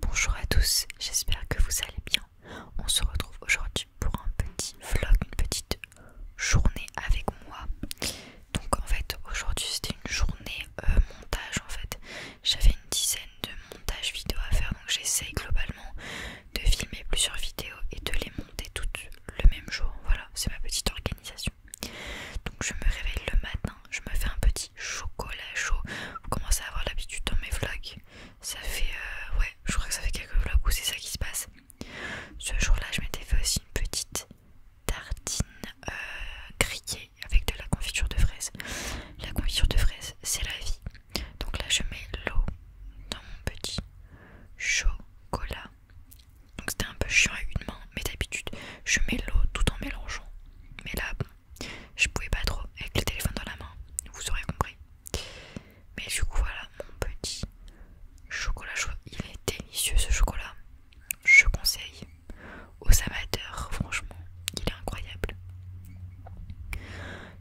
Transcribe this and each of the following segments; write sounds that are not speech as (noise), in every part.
Bonjour à tous, j'espère que vous allez bien. On se retrouve aujourd'hui pour un petit vlog, une petite journée avec moi. Donc en fait aujourd'hui c'était une journée euh, montage en fait. J'avais une dizaine de montages vidéo à faire donc j'essaye globalement de filmer plusieurs vidéos et de les monter toutes le même jour. Voilà, c'est ma petite organisation. Donc je me réveille le matin, je me fais un petit chocolat chaud. Vous commencez à avoir l'habitude dans mes vlogs. Ça fait euh, ouais, je crois que ça fait quelques vlogs où c'est ça qui se passe. Ce jour-là, je m'étais fait aussi une petite tartine euh, grillée avec de la confiture de fraise. La confiture de fraise, c'est la vie. Donc là, je mets l'eau dans mon petit chocolat. Donc c'était un peu chiant à une main, mais d'habitude je mets l'eau tout en mélangeant. Mais là, je pouvais pas trop avec le téléphone dans la main, vous aurez compris. Mais du coup, voilà mon petit chocolat Il est délicieux ce chocolat. Je conseille aux amateurs, franchement, il est incroyable.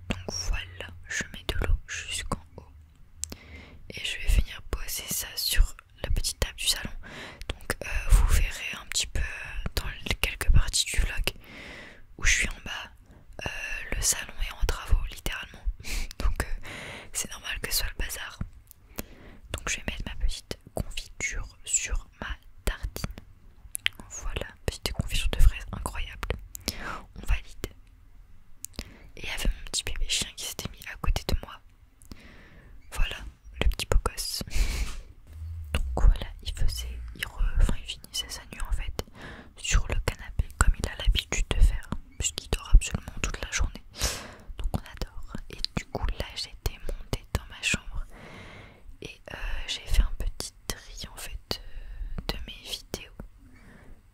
Donc voilà, je mets de l'eau jusqu'en haut et je vais venir poser ça sur la petite table du salon donc euh, vous verrez un petit peu dans quelques parties du vlog où je suis en bas euh, le salon est en travaux littéralement (laughs) donc euh, c'est normal que ce soit le bazar donc je vais mettre ma petite confiture sur ma tartine voilà petite confiture de fraises incroyable on valide et il y avait mon petit bébé chien qui s'était mis à côté de moi. Voilà, le petit beau gosse. (laughs) Donc voilà, il faisait, il, finissait sa nuit en fait sur le canapé comme il a l'habitude de faire, puisqu'il dort absolument toute la journée. Donc on adore. Et du coup là j'étais montée dans ma chambre et euh, j'ai fait un petit tri en fait euh, de mes vidéos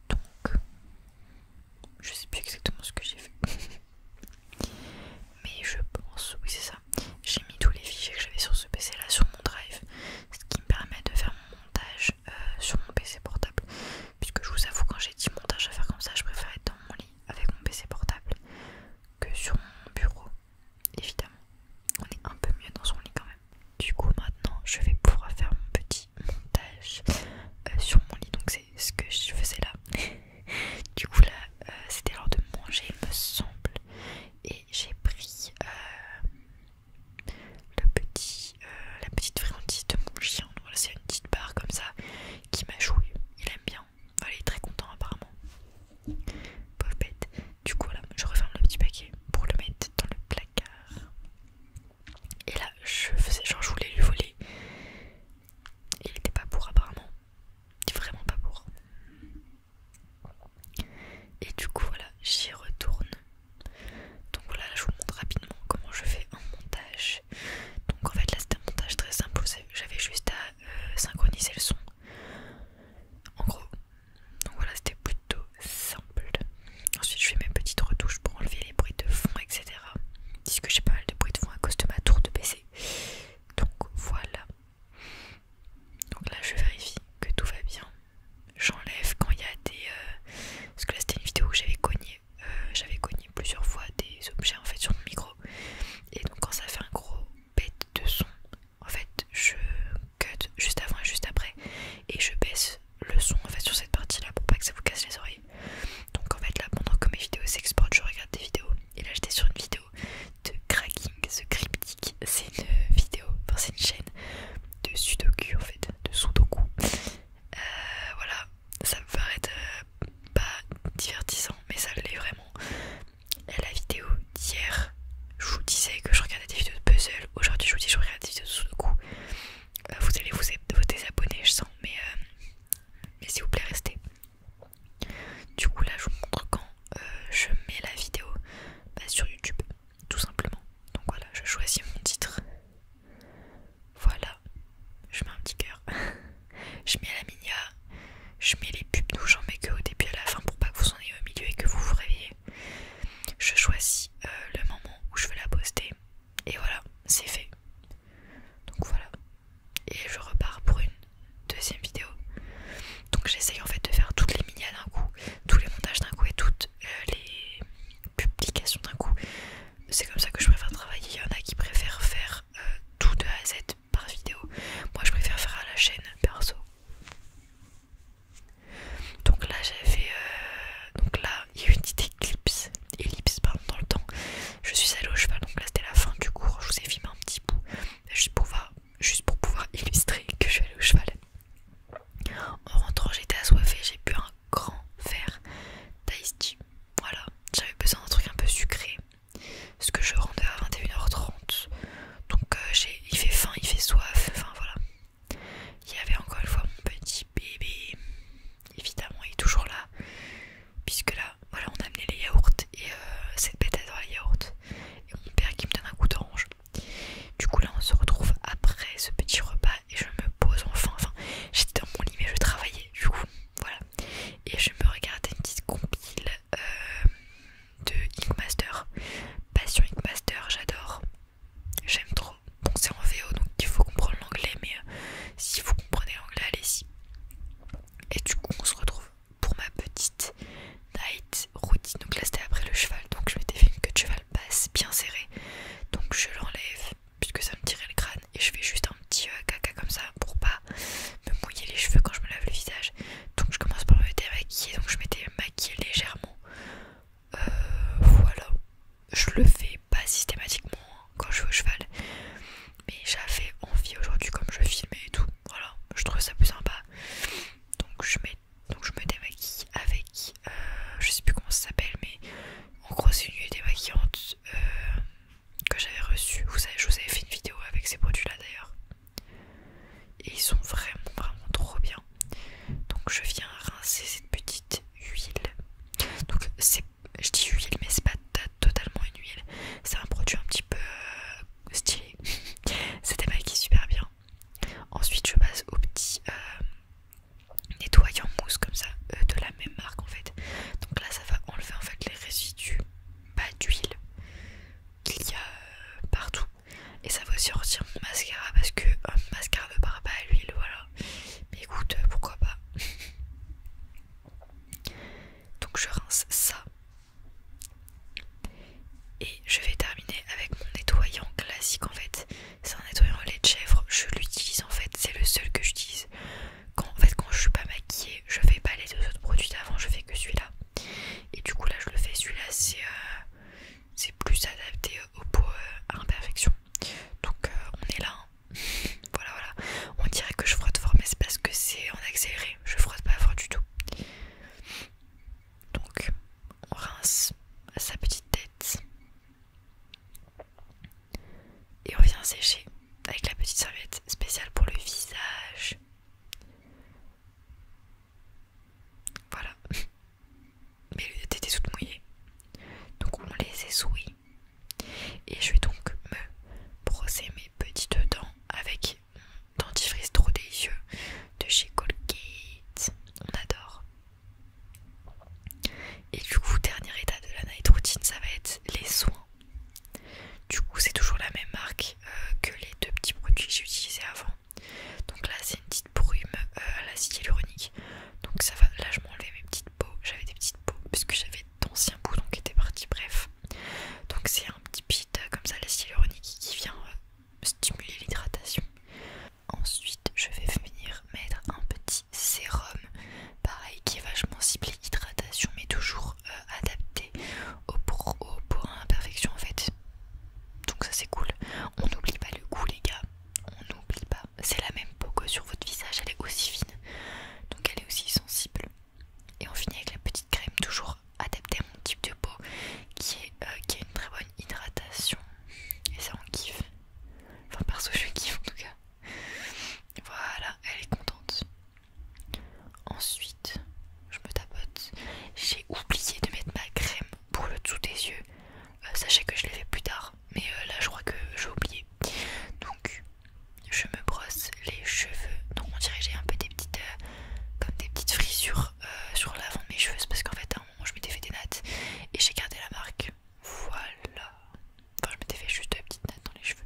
donc je sais plus exactement ce que j'ai fait (laughs) mais je pense oui c'est ça j'ai mis tous les fichiers que j'avais sur ce pc là sur mon drive ce qui me permet de faire mon montage euh, sur mon pc portable puisque je vous avoue quand j'ai dit montage à faire comme ça je préfère être dans mon lit avec mon pc portable que sur mon bureau évidemment on est un peu mieux dans son lit quand même. Du coup maintenant je vais pouvoir faire mon petit montage euh, sur mon lit donc c'est ce que je faisais là. (laughs) du coup là euh, c'était l'heure de manger il me semble et j'ai pris euh, le petit, la petite friandise de mon chien. c'est une petite barre comme ça qui m'a joué il aime bien, il est très content apparemment. Pauvre bête. Du coup, voilà, je referme le petit paquet pour le mettre dans le placard. Et là, je faisais genre, je voulais lui voler. Il était pas pour, apparemment. Vraiment pas pour. Et du coup, voilà, j'y retourne. Donc voilà, là, je vous montre rapidement comment je fais un montage. Donc en fait, là, c'était un montage très simple. J'avais juste à euh, synchroniser le son. En gros, donc voilà, c'était plutôt simple. Ensuite, je fais mes petites retouches pour enlever les bruits de fond, etc. que j'ai pas mal de bruits de fond à cause de ma tour de PC. Donc voilà. Donc là, je vérifie que tout va bien. J'enlève quand il y a des. Euh, parce que là, c'était une vidéo où j'avais cogné. Euh, j'avais cogné plusieurs fois des objets en fait sur mon micro. Et donc, quand ça fait un gros bête de son. En fait, je cut juste avant et juste après, et je baisse le son en fait sur cette partie-là pour pas que ça vous casse les oreilles. Donc en fait là, pendant que mes vidéos s'exportent, je regarde des vidéos. Et là, j'étais sur une vidéo de cracking, ce cryptique. C'est une vidéo, enfin c'est une chaîne de sudoku en fait, de sudoku. Euh, voilà, ça me paraît euh, pas divertissant, mais ça l'est vraiment la vidéo d'hier, je vous disais que je regardais des vidéos de puzzle. Aujourd'hui, je vous dis que je regarde des vidéos de sudoku. coup euh, vous allez vous, vous désabonner, je sens, euh, mais s'il vous plaît, restez. Du coup, là, je vous montre quand euh, je mets la vidéo bah, sur YouTube, tout simplement. Donc voilà, je choisis mon titre. Voilà, je mets un petit cœur. (laughs) Je mets la minia, je mets les pubs nous j'en mets que au début à la fin pour pas que vous en ayez au milieu et que vous vous réveillez. Je choisis euh, le moment où je veux la poster et voilà, c'est fait. Donc voilà. Et je repars pour une deuxième vidéo. Donc j'essaye en fait de faire toutes les minias d'un coup, tous les montages d'un coup et toutes euh, les publications d'un coup. C'est comme ça que je préfère travailler. Il y en a qui préfèrent faire euh, tout de A à Z par vidéo. Moi je préfère faire à la chaîne perso. Donc là j'avais fait... Euh, donc là il y a eu une petite éclipse, ellipse dans le temps. Je suis allée au cheval, donc là c'était la fin du cours. Je vous ai filmé un petit bout juste pour pouvoir, juste pour pouvoir (laughs) illustrer que je suis allée au cheval. En rentrant j'étais assoiffée, j'ai bu un grand verre d'Ice Voilà, j'avais besoin d'un truc un peu sucré parce que je rendais à 21h30. Donc euh, il fait faim, il fait soif, enfin voilà. Il y avait encore une fois mon petit bébé. Évidemment, il est toujours là. Puisque là, voilà, on a amené les yaourts et euh, cette bête adore les yaourts. Et mon père qui me donne un coup d'orange. Du coup là on se retrouve après ce petit repas et je me pose enfin. Enfin j'étais dans mon lit mais je travaillais. Du coup voilà et je me regarde une petite compile euh, de Ink Master. Passion Ink Master, j'adore, j'aime trop. Bon, c'est en VO donc il faut comprendre l'anglais, mais euh, si vous comprenez l'anglais, allez-y. Et du coup, on se retrouve pour ma petite night routine. Donc là, c'était après le cheval, donc je m'étais fait une queue de cheval basse bien serrée. Donc je l'enlève, puisque ça me tirait le crâne et je fais juste un petit euh, caca comme ça pour pas me mouiller les cheveux quand je me lave le visage donc je commence par me démaquiller donc je m'étais maquillée légèrement euh, voilà je le fais pas systématiquement hein, quand je vais au cheval mais j'avais envie aujourd'hui comme je filmais et tout voilà je trouve ça plus sympa donc je, mets, donc je me démaquille avec euh, je sais plus comment ça s'appelle mais en gros c'est une nuit démaquillante euh, que j'avais reçu, Vous savez, je vous avais fait une vidéo avec ces produits-là d'ailleurs. Et ils sont vraiment, vraiment trop bien. Donc je viens rincer cette petite huile. Donc c'est, je dis huile, mais c'est pas totalement une huile. C'est un produit un petit peu euh, stylé. (laughs) C'était est super bien. Ensuite, je passe au petit. Euh, nettoyant mousse comme ça euh, de la même marque en fait donc là ça va enlever en fait les résidus pas d'huile qu'il y a euh, partout et ça va aussi retirer mon mascara parce que un euh, mascara ne part pas à l'huile voilà mais écoute pourquoi pas (laughs) donc je rince ça et je vais terminer avec mon nettoyant classique en fait c'est un nettoyant au lait de chèvre. Je l'utilise en fait, c'est le seul que j'utilise. Quand, en fait, quand je suis pas maquillée, je fais pas les deux autres produits d'avant, je fais que celui-là. Et du coup, là, je le fais. Celui-là, c'est euh, plus adapté au pot euh, à imperfection. Donc, euh, on est là. Hein. (laughs) voilà, voilà. On dirait que je frotte fort, mais c'est parce que c'est en accéléré. Je frotte pas fort du tout. Donc, on rince à sa petite tête. Et on vient sécher avec la petite serviette spéciale pour le visage. Voilà. Mais (laughs) elles étaient toutes mouillées. Donc on les essouille. Et je vais donc me brosser mes petites dents avec mon dentifrice trop délicieux de chez Colgate. On adore. Et du coup, dernier état de la night routine, ça va être les soins. Du coup, c'est toujours la même marque euh, que les deux petits produits que j'ai utilisés avant. Donc là, c'est une petite brume euh, à l'acide hyaluronique. Donc ça va, là je m'enlevais mes petites peaux, j'avais des petites peaux parce j'avais d'anciens bouts qui étaient partis, bref. Donc c'est un petit pit euh, comme ça, l'acide hyaluronique qui vient stimuler l'hydratation. Ensuite, je vais venir mettre un petit sérum, pareil qui est vachement ciblé hydratation, mais toujours euh, adapté au pour, à pour perfection en fait. Donc ça c'est cool. On n'oublie pas le goût les gars, on n'oublie pas. C'est la même peau que sur votre visage, elle est aussi fine, donc elle est aussi sensible. Et on finit avec la petite crème toujours adaptée à mon type de peau qui est euh, qui une très bonne hydratation et ça on kiffe. Enfin perso je kiffe en tout cas. Voilà, elle est contente. Ensuite, je me tapote. J'ai oublié de mettre ma crème pour le dessous des yeux. Euh, sachez que je l'ai fait plus tard, mais euh, là je crois que j'ai oublié. Donc je me brosse les cheveux. Donc on dirait j'ai un peu des petites euh, comme des petites frisures euh, sur, l'avant de mes cheveux, parce qu'en fait à un moment je m'étais fait des nattes et j'ai gardé la marque. Voilà. Enfin je m'étais fait juste des petites nattes dans les cheveux.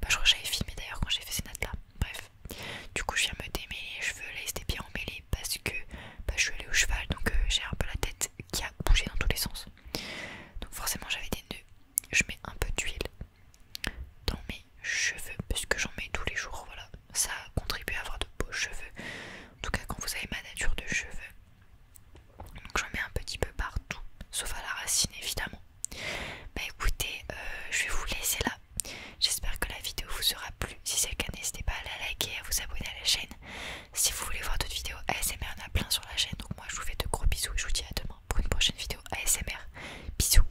Bah, je crois que j'avais filmé d'ailleurs quand j'ai fait ces nattes là. Bref. Du coup je viens me démêler les cheveux, là ils étaient bien emmêlés parce que bah, je suis allée au cheval donc euh, j'ai un peu la tête qui a bougé dans tous les sens. Donc forcément j'avais des nœuds. Je mets un peu d'huile dans mes cheveux puisque j'en mets tous les jours voilà ça contribue à avoir de beaux cheveux en tout cas quand vous avez ma nature de cheveux donc j'en mets un petit peu partout sauf à la racine évidemment bah écoutez euh, je vais vous laisser là j'espère que la vidéo vous aura plu si c'est le cas n'hésitez pas à la liker à vous abonner à la chaîne si vous voulez voir d'autres vidéos ASMR il en a plein sur la chaîne donc moi je vous fais de gros bisous et je vous dis à demain pour une prochaine vidéo ASMR bisous